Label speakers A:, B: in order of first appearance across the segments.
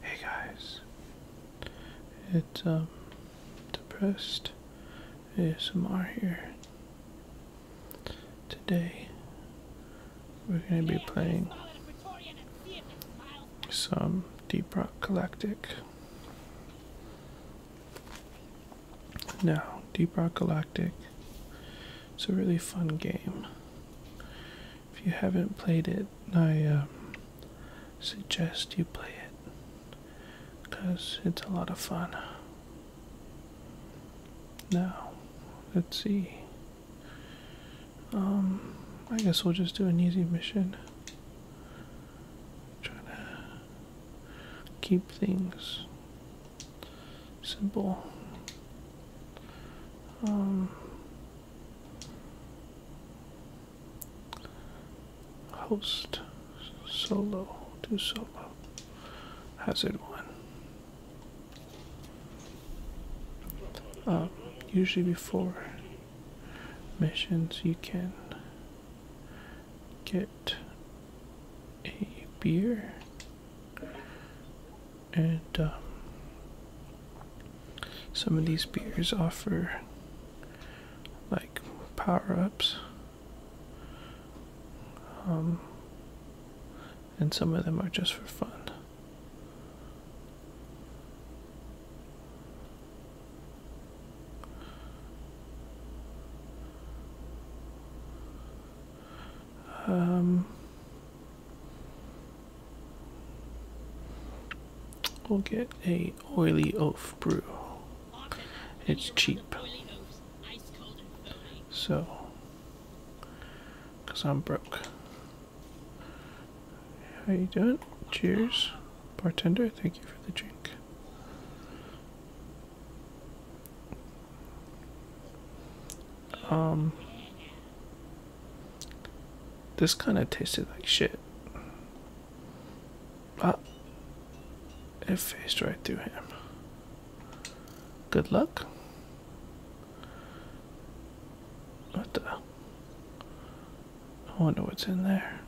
A: Hey guys, it's um, depressed ASMR here. Today we're gonna be playing some Deep Rock Galactic. Now, Deep Rock Galactic, it's a really fun game. If you haven't played it, I um, suggest you play it because it's a lot of fun. Now, let's see. Um, I guess we'll just do an easy mission. Trying to keep things Simple. Um, host solo. Do solo. Hazard one. Uh, usually before missions, you can get a beer and um, some of these beers offer like power ups, um, and some of them are just for fun. Um, We'll get a oily oaf brew. It's cheap. So, because I'm broke. How you doing? Cheers. Bartender, thank you for the drink. Um, this kind of tasted like shit. Ah, it faced right through him. Good luck. What the? I wonder what's in there.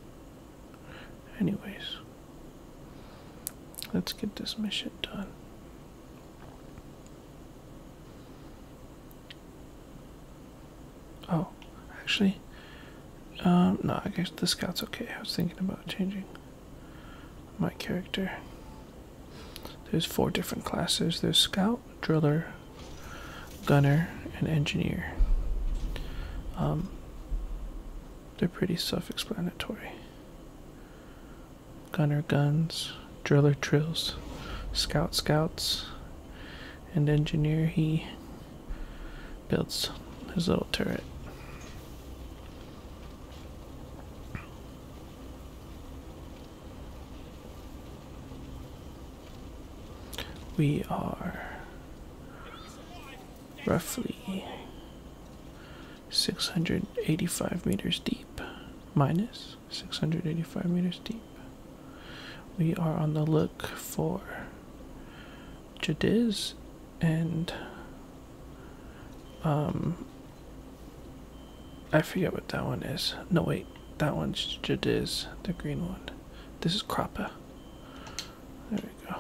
A: Anyways, let's get this mission done. Oh, actually, um, no, I guess the scout's okay. I was thinking about changing my character. There's four different classes there's scout, driller, gunner, and engineer. Um, they're pretty self explanatory gunner guns, driller drills, scout scouts, and engineer he builds his little turret. We are roughly 685 meters deep minus 685 meters deep. We are on the look for Jadiz and um I forget what that one is. No wait, that one's Jadiz, the green one. This is Krappa. There we go.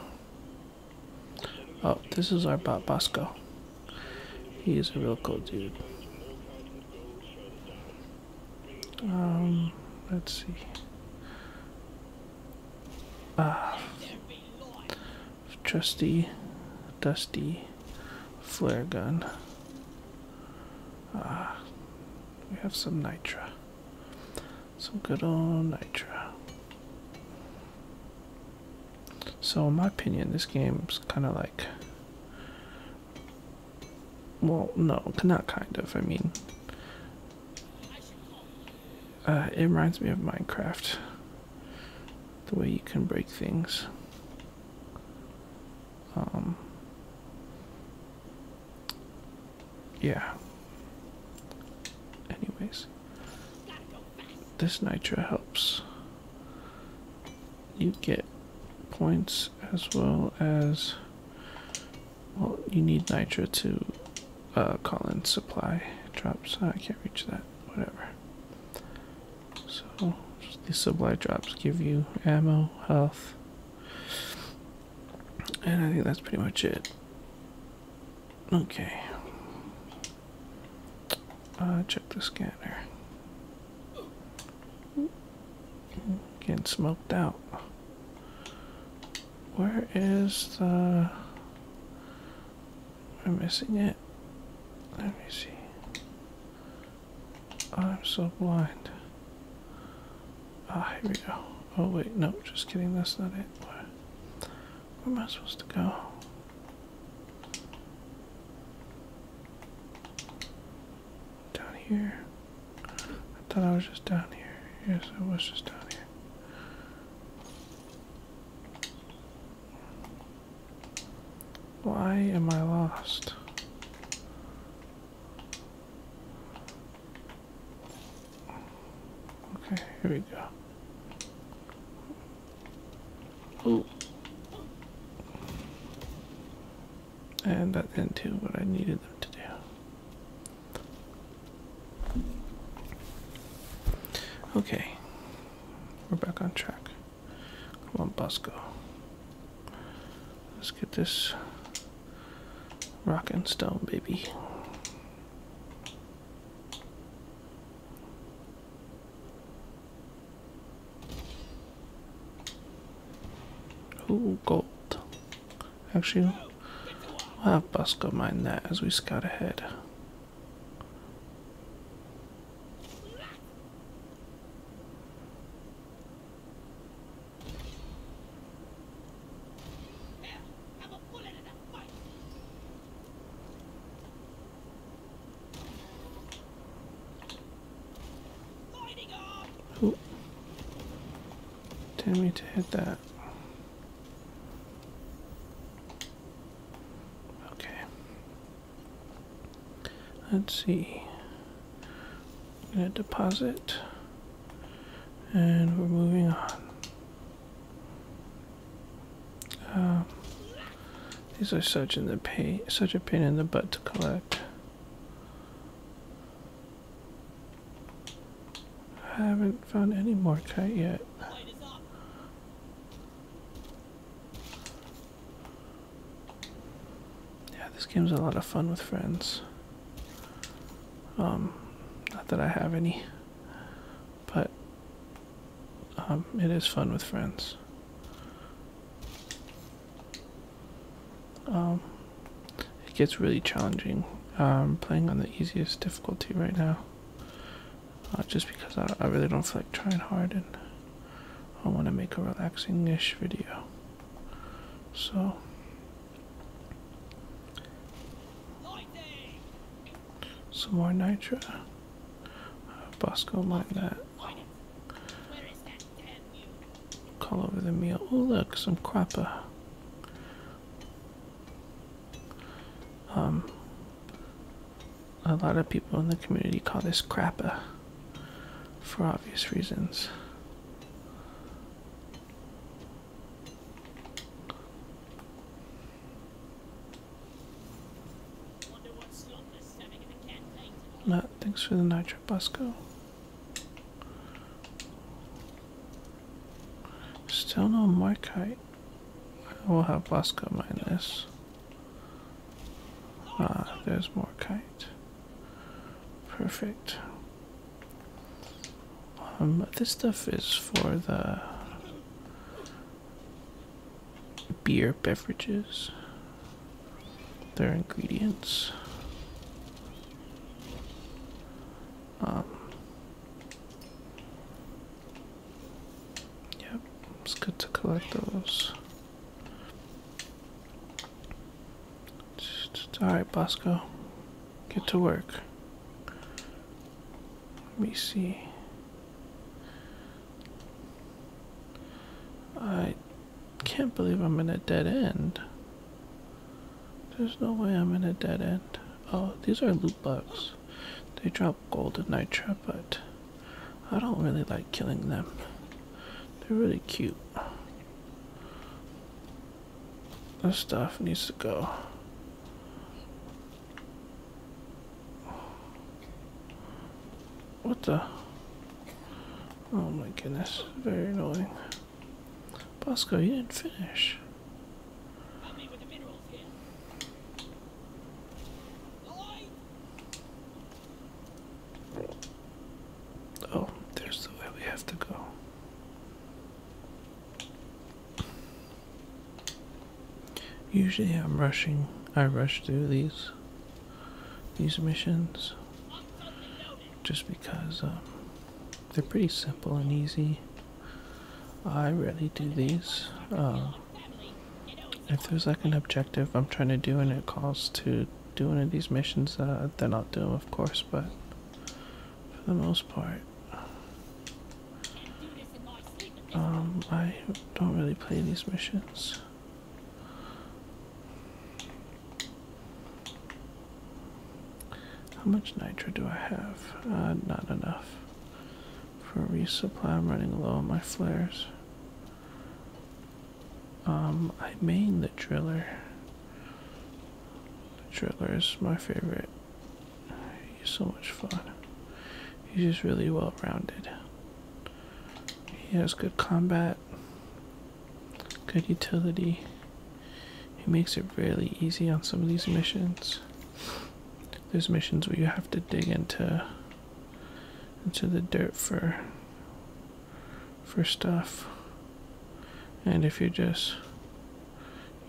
A: Oh, this is our Basco. He's a real cool dude. Um, let's see. Ah, trusty, dusty flare gun. Ah, we have some nitra. Some good old nitra. So, in my opinion, this game's kind of like. Well, no, not kind of. I mean, uh, it reminds me of Minecraft. The way you can break things. Um, yeah. Anyways, this nitro helps you get points as well as well you need nitra to uh, call in supply drops ah, i can't reach that whatever so these supply drops give you ammo health and i think that's pretty much it okay uh, check the scanner. Getting smoked out. Where is the. i Am missing it? Let me see. I'm so blind. Ah, here we go. Oh, wait, no, just kidding, that's not it. where am I supposed to go? Down here. I thought I was just down here. Yes, I was just down here. Why am I lost? Okay, here we go. Oh. And that into what I needed them to do. Okay. We're back on track. Come on, Bosco. Let's get this rock and stone, baby. Oh, gold. Actually, we have Busco mine that as we scout ahead. Ooh. Tell me to hit that. Okay. Let's see. I'm gonna deposit and we're moving on. Um, these are such a pain in the butt to collect. I haven't found any more yet. Yeah, this game's a lot of fun with friends. Um, not that I have any, but um, it is fun with friends. Um, it gets really challenging. I'm um, playing on the easiest difficulty right now, uh, just because I, really don't feel like trying hard, and I want to make a relaxing-ish video. So. Some more nitro. Bosco like that. Call over the meal. Oh look, some crapper. Um, a lot of people in the community call this crapper for obvious reasons. No, thanks for the nitro Busco. Still no Markite. I will have Busco mine this. Ah, there's more kite. Perfect. Um, this stuff is for the beer beverages, their ingredients. Um, yep, it's good to collect those. Alright, Bosco, get to work. Let me see. I can't believe I'm in a dead end. There's no way I'm in a dead end. Oh, these are loot bugs. They drop gold and nitra, but I don't really like killing them. They're really cute. This stuff needs to go. What the? Oh my goodness, very annoying. Bosco, you didn't finish. Oh, there's the way we have to go. Usually I'm rushing I rush through these these missions just because um, they're pretty simple and easy. I rarely do these. Um, if there's like an objective I'm trying to do and it calls to do one of these missions, uh, then I'll do them, of course, but for the most part, um, I don't really play these missions. How much nitro do I have? Uh, not enough. For resupply, I'm running low on my flares. Um, I main the driller. The driller is my favorite. He's so much fun. He's just really well rounded. He has good combat, good utility. He makes it really easy on some of these missions. There's missions where you have to dig into into the dirt for for stuff. And if you just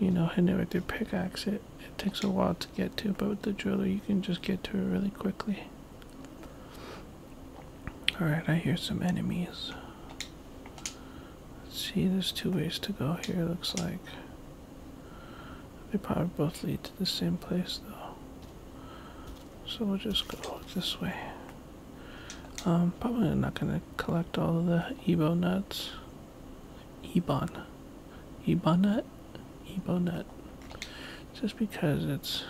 A: you know hit it with your pickaxe it, it takes a while to get to, but with the driller, you can just get to it really quickly. Alright, I hear some enemies. Let's see, there's two ways to go here, looks like. They probably both lead to the same place, though. So we'll just go this way. Um, probably not gonna collect all of the Ebo nuts. Ebon. Ebonut? Ebonut. Just because it's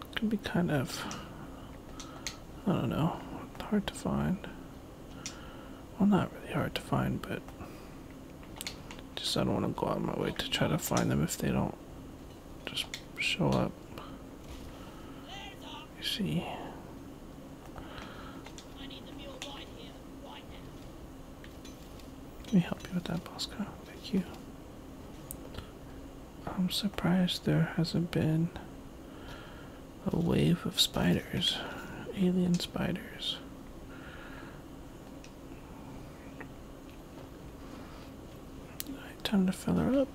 A: it can be kind of I don't know, hard to find. Well not really hard to find, but just I don't want to go out of my way to try to find them if they don't just show up. You see. Let me help you with that, Bosco. Thank you. I'm surprised there hasn't been a wave of spiders, alien spiders. time to fill her up.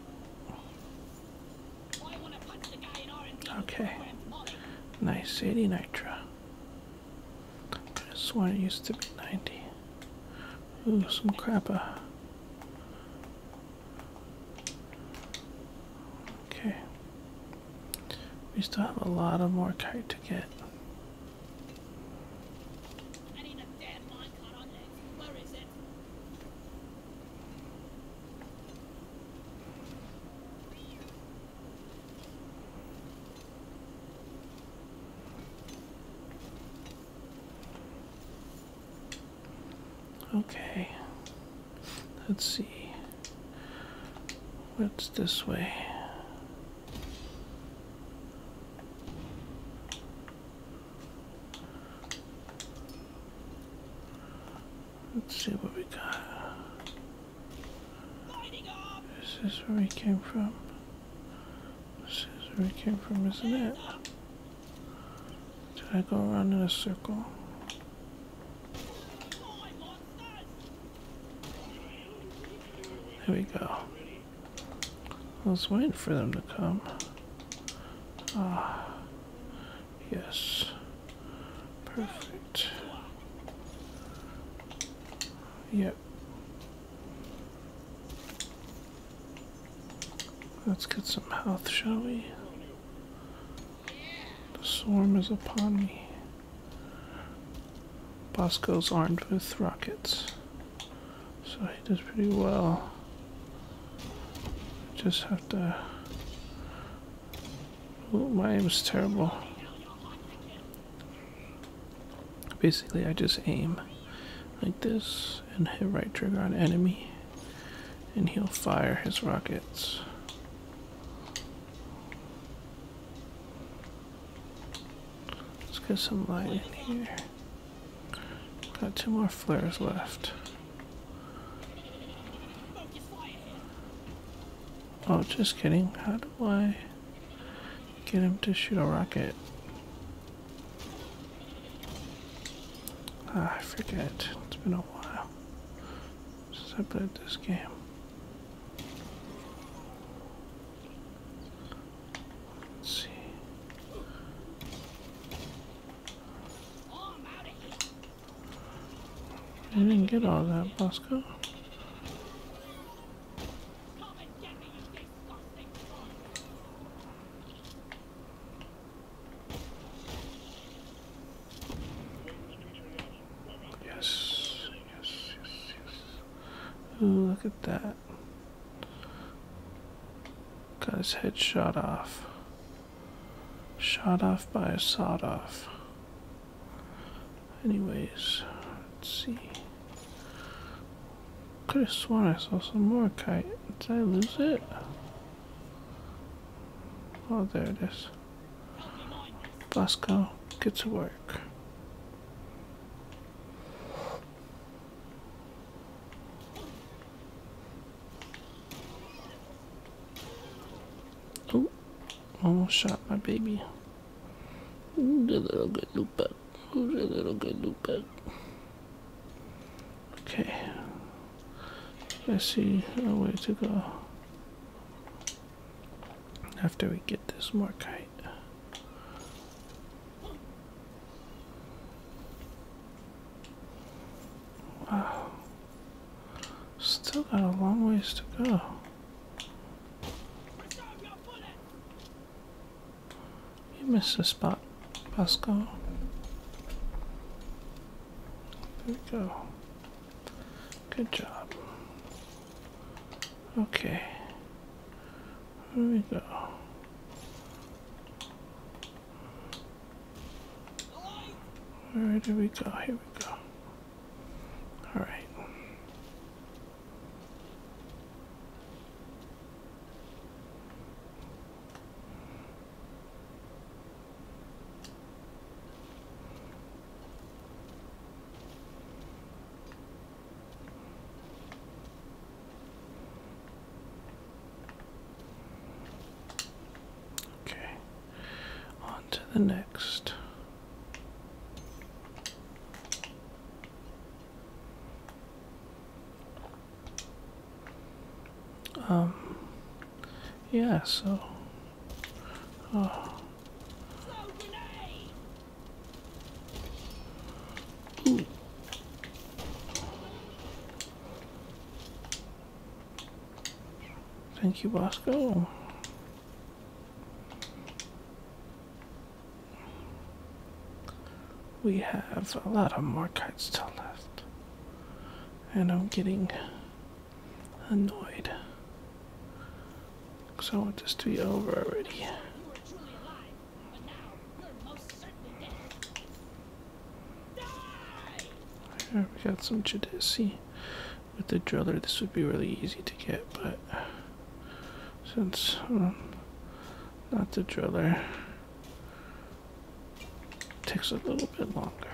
A: Okay. Nice, 80 Nitra. I could it used to be 90. Ooh, some crappa. Uh. Okay. We still have a lot of more kite to get. Okay, let's see. What's this way? Let's see what we got. This is where we came from. This is where we came from, isn't it? Did I go around in a circle? There we go. I was waiting for them to come. Ah, yes. Perfect. Yep. Let's get some health, shall we? The swarm is upon me. Bosco's armed with rockets. So he does pretty well. Just have to... Ooh, my aim is terrible. Basically, I just aim like this and hit right trigger on enemy, and he'll fire his rockets. Let's get some light in here. Got two more flares left. Oh, just kidding. How do I get him to shoot a rocket? Ah, I forget. It's been a while since I played this game. see. I didn't get all that, Bosco. Yes, yes, yes, yes. Ooh, look at that. Got his head shot off. Shot off by a sawed off. Anyways, let's see. Could have sworn I saw some more kite. Did I lose it? Oh, there it is. Bosco, get to work. Oh, Almost oh, shot my baby. Who's a little good loop up? Who's a little good loop Okay. Let's see a way to go. After we get this more kite. Wow. Still got a long ways to go. You missed a spot, Pascal. There we go. Good job. Okay. Here we go. Where do we go? Here we go. All right. Okay, on to the next. Um, yeah, so. Oh. Thank you, Bosco. We have a lot of more cards still left, and I'm getting annoyed. Because I want this to be over already. Here we got some Judici. With the driller, this would be really easy to get, but since um, not the driller, takes a little bit longer.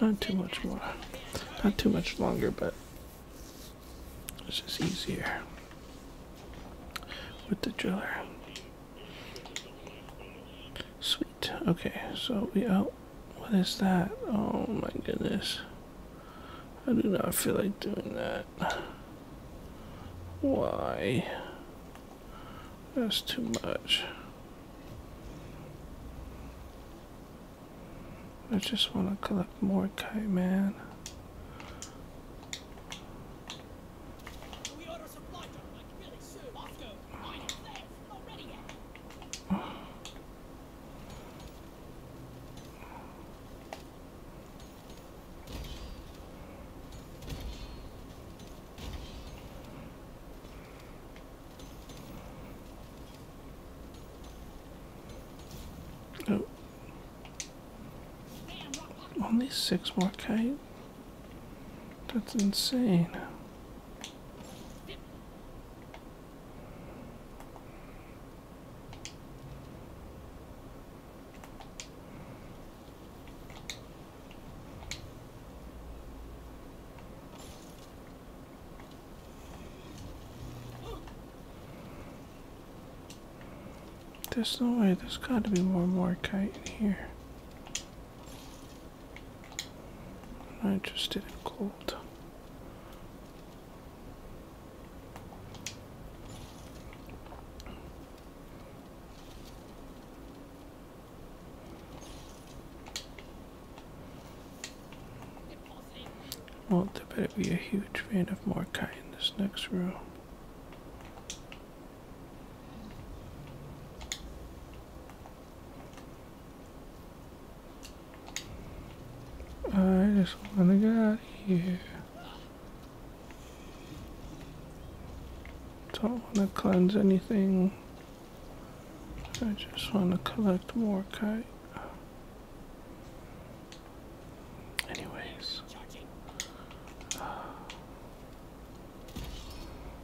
A: Not too much more. Not too much longer, but it's just easier with the driller. Sweet. Okay, so we out. What is that? Oh my goodness. I do not feel like doing that. Why? That's too much. I just want to collect more kite, man. Oh. Only six more k. That's insane. There's no way, there's got to be one more kite in here. I'm not interested in gold. Well, there better be a huge vein of Morkai in this next room. I just want to get out of here. Don't want to cleanse anything. I just want to collect more kite. Anyways.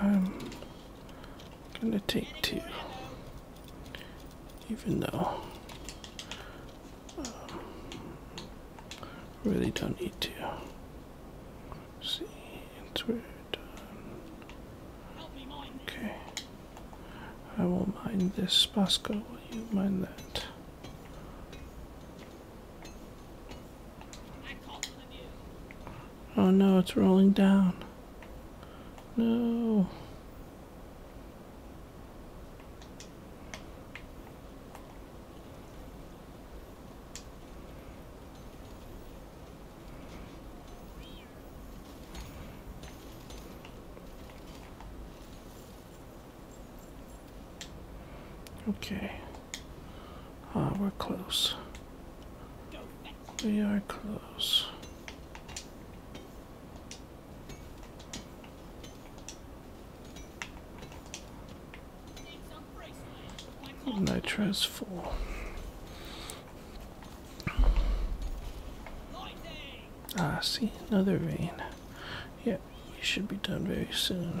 A: I'm gonna take two, even though I um, really don't need to. Let's see, it's weird. Okay, I will mind this Bosco. Will you mind that? Oh no, it's rolling down. No. Okay. Oh, we're close. We are close. Nitrous full. Ah, see, another vein. Yeah, we should be done very soon.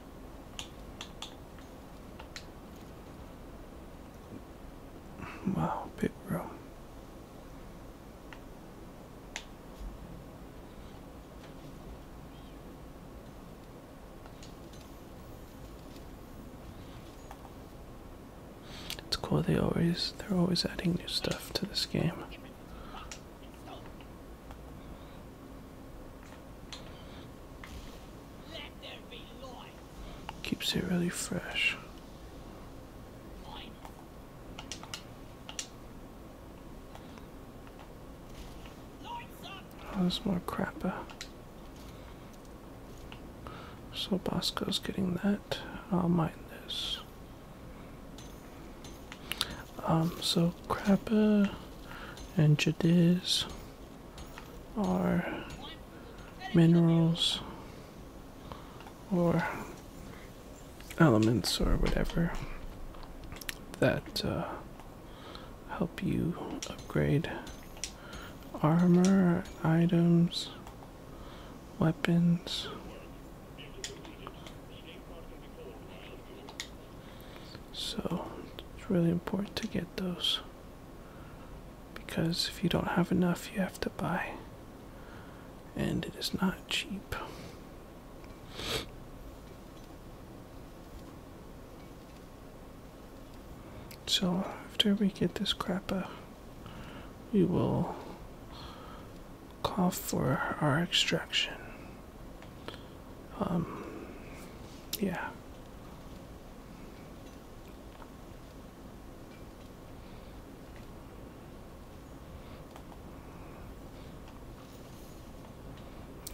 A: Wow, big room. It's cool they always they're always adding new stuff to this game. Keeps it really fresh. Oh, there's more crapper. So Bosco's getting that. I'll mine this. Um, so crapper and Jadis or minerals or elements or whatever that uh, help you upgrade armor, items, weapons. So it's really important to get those because if you don't have enough, you have to buy, and it is not cheap. So after we get this crap up, we will call for our extraction. Um, yeah.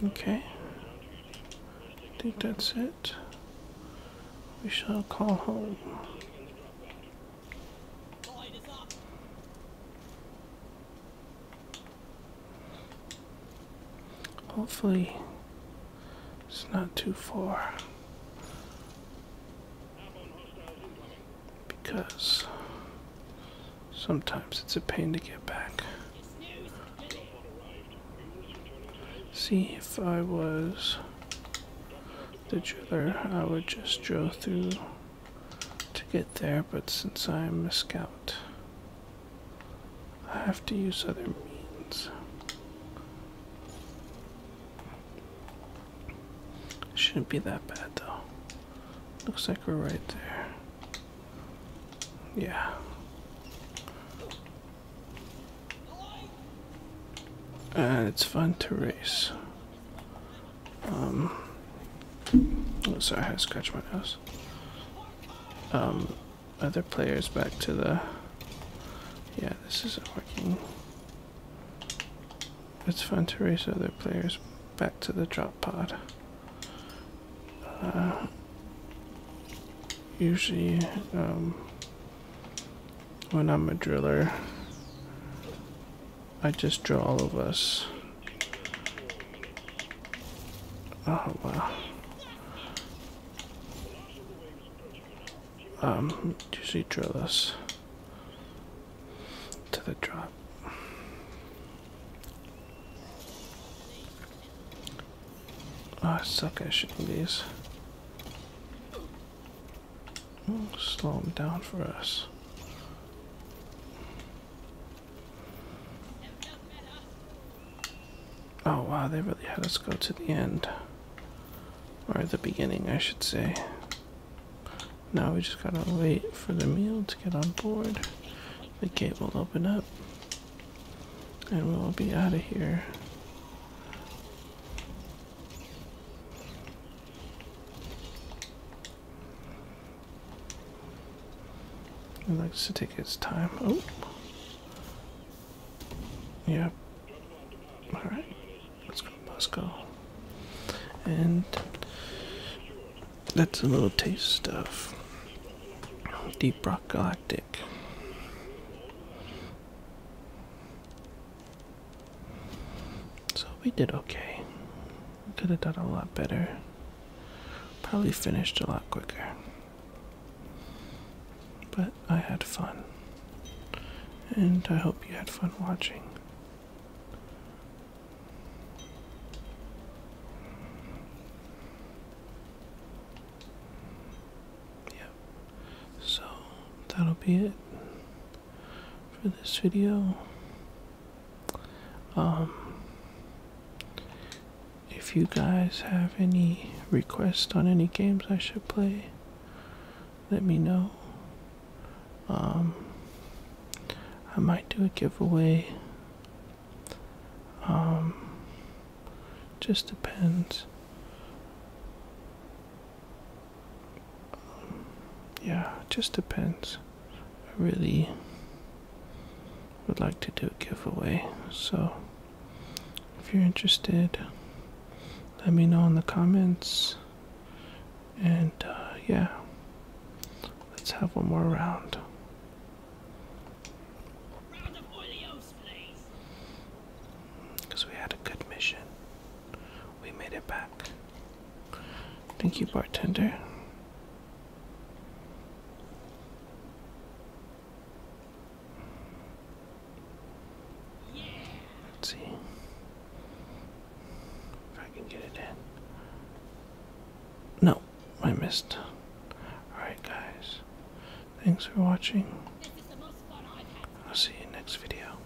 A: Okay. I think that's it. We shall call home. Hopefully, it's not too far. Because sometimes it's a pain to get back. See, if I was the driller, I would just drill through to get there, but since I'm a scout, I have to use other means. shouldn't be that bad though. Looks like we're right there. Yeah. And it's fun to race. Um, oh, sorry, I scratch my nose. Um, other players back to the... Yeah, this isn't working. It's fun to race other players back to the drop pod. Uh, usually, um, when I'm a driller, I just draw all of us Oh, wow. Um, do you see this to the drop. Oh, I suck at shooting these. Slow them down for us. Oh wow, they really had us go to the end. Or the beginning, I should say. Now we just gotta wait for the meal to get on board. The gate will open up. And we'll be out of here. He likes to take his time. Oh. Yep. Alright. Let's go. let And that's a little taste of Deep Rock Galactic. So we did okay. Could have done a lot better. Probably finished a lot quicker. But I had fun, and I hope you had fun watching. Yep, so that'll be it for this video. Um, if you guys have any requests on any games I should play, let me know. Um, I might do a giveaway. Um, just depends. Um, yeah, just depends. really would like to do a giveaway. So if you're interested, let me know in the comments. And uh, yeah, let's have one more round. Because we had a good mission. We made it back. Thank you, bartender. Let's see if I can get it in. No, I missed. Alright, guys. Thanks for watching. I'll see you next video.